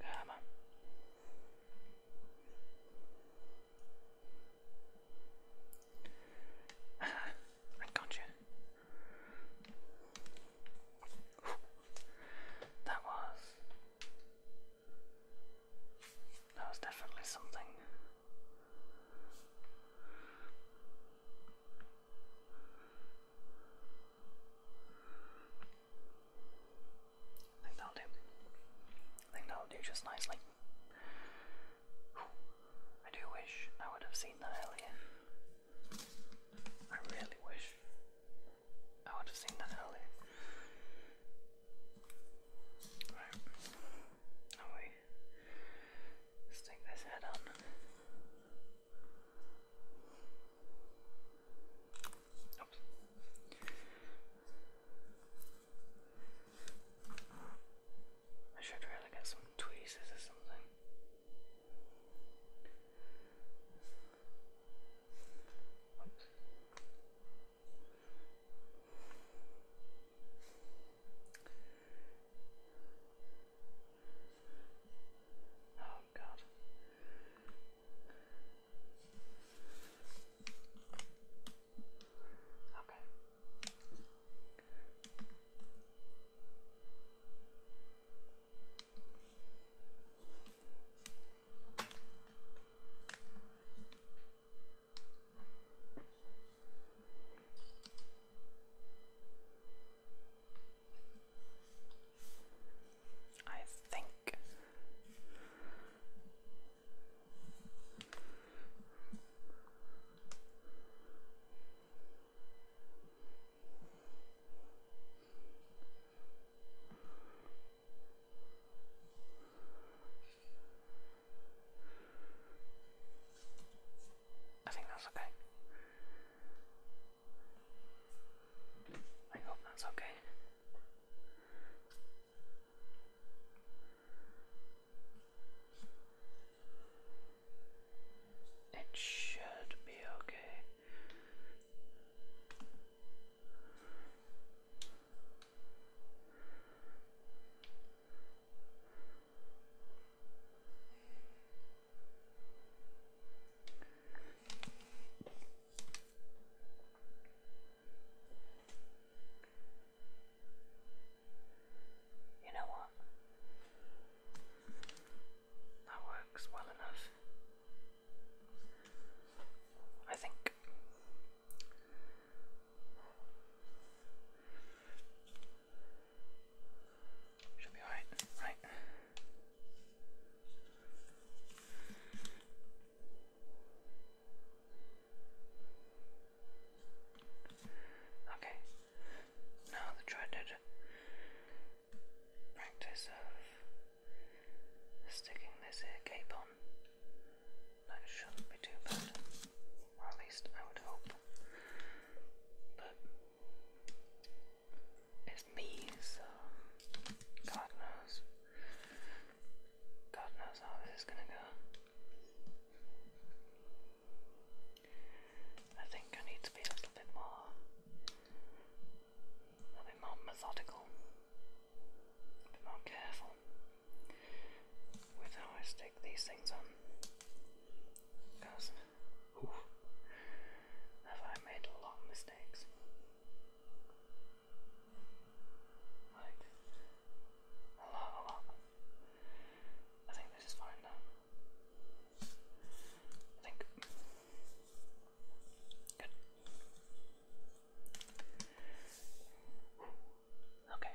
Come on. I got you. That was that was definitely something. I think that'll do. I think that'll do just nicely. I do wish I would have seen that earlier. I really wish I would have seen that earlier. Right. Now we stick this head on. I should really get some tweezers or something. Oh god. Okay. I think. I think that's okay. I hope that's okay. It should be okay. You know what? That works well enough. I think. Should be alright, right? Okay. Now the dreaded practice of sticking this cape on. That shouldn't be too bad. Well, at least I would hope. But it's me, so um, God knows. God knows how this is gonna go. I think I need to be a little bit more a little bit more methodical. A bit more careful with how I stick these things on. Have I made a lot of mistakes? Like, a lot, a lot. I think this is fine now. I think. Good. Okay.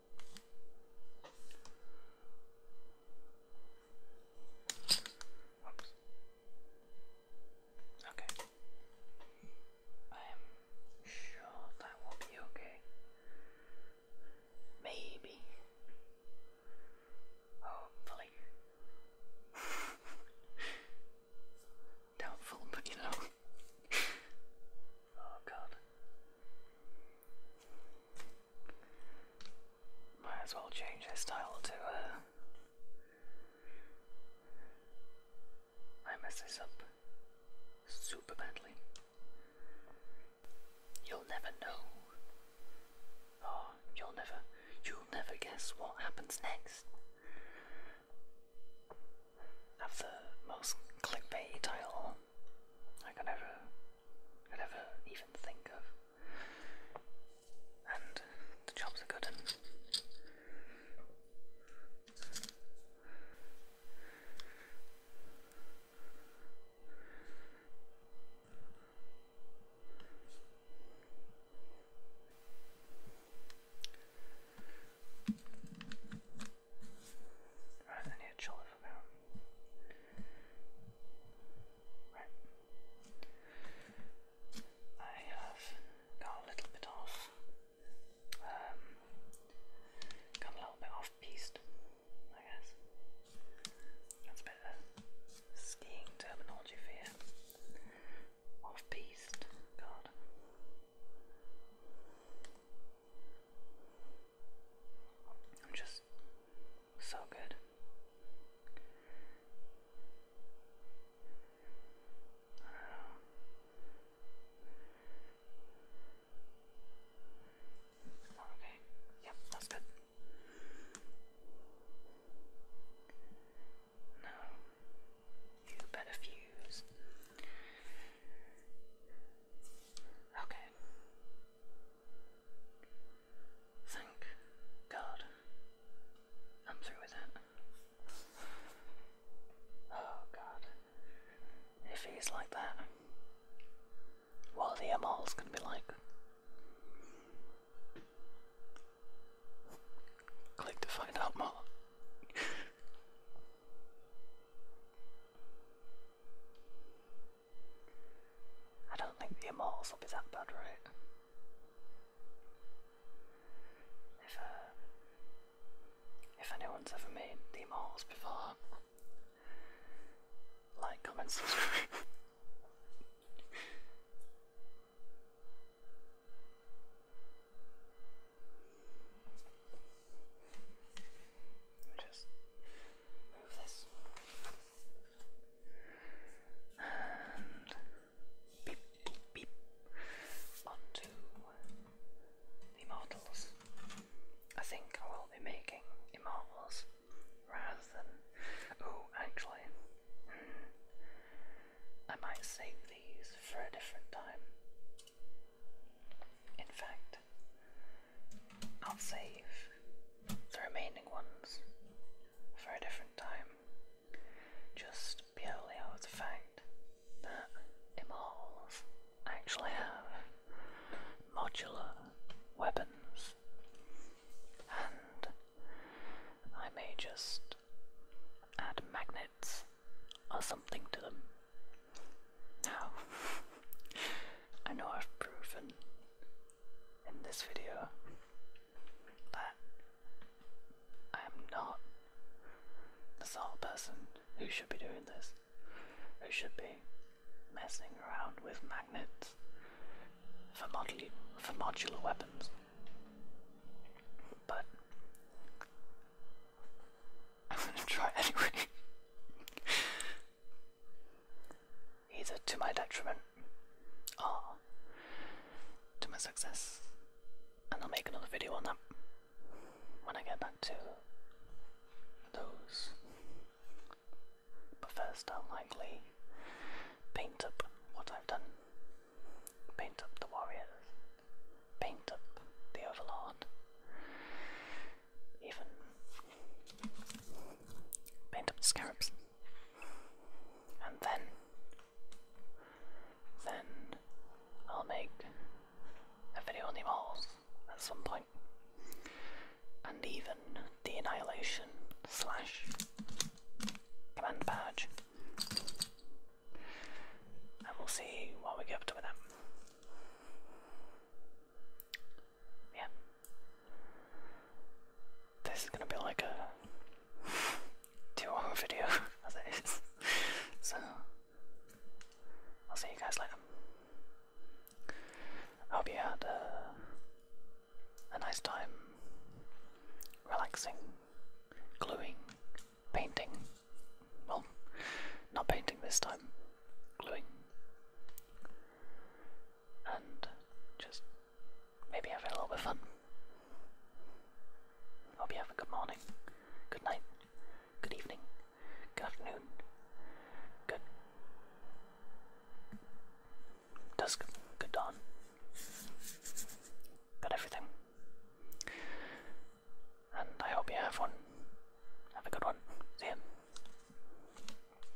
Okay. I'm sure that will be okay. Maybe. Hopefully. Doubtful, but you know. oh god. Might as well change their style to uh, I mess this up super badly. You'll never know. Oh, you'll never you'll never guess what happens next. Have the most clickbait title I can never, could ever even think of. And the jobs are good and I need a chiller for now. Right. I have got a little bit off. Um, a little bit off piste, I guess. That's a bit of skiing terminology for you. Off piste, God. I'm just so good. okay. Yep, that's good. No. You better fuse. Okay. Thank God I'm through with it. Oh God. If he's like that, what the MRs going to be like? Click to find out more. I don't think the Immortals will be that bad, right? If uh, if anyone's ever made the Immortals before, like, comment, subscribe. Just move this. And beep, beep, beep onto the I think I will be making immortals rather than. Oh, actually, hmm, I might save these for a different time. In fact, I'll save the remaining ones for a different time, just purely out of the fact that Immortals actually have modular weapons, and I may just add magnets or something to them. Now, I know I've proven in this video that I am not the sort of person who should be doing this, who should be messing around with magnets for, moduli for modular weapons. But I'm gonna try anyway. either to my detriment or to my success. And I'll make another video on that when I get back to those. But first, I'll likely paint up what I've done, paint up the warriors, paint up the overlord, even Paint up the scarabs. And then. Then I'll make a video on the Immortals at some And even the Annihilation slash Command Badge. And we'll see what we get up to with that. Yeah. This is gonna be like a two-hour video as it is. So I'll see you guys later. I hope you had a, uh, a nice time relaxing, gluing, painting. Well, not painting this time, gluing and just maybe have a little bit of fun. Hope you have a good morning, good night, good evening, good afternoon, good dusk, good dawn, good everything. And I hope you have one. Have a good one. See you.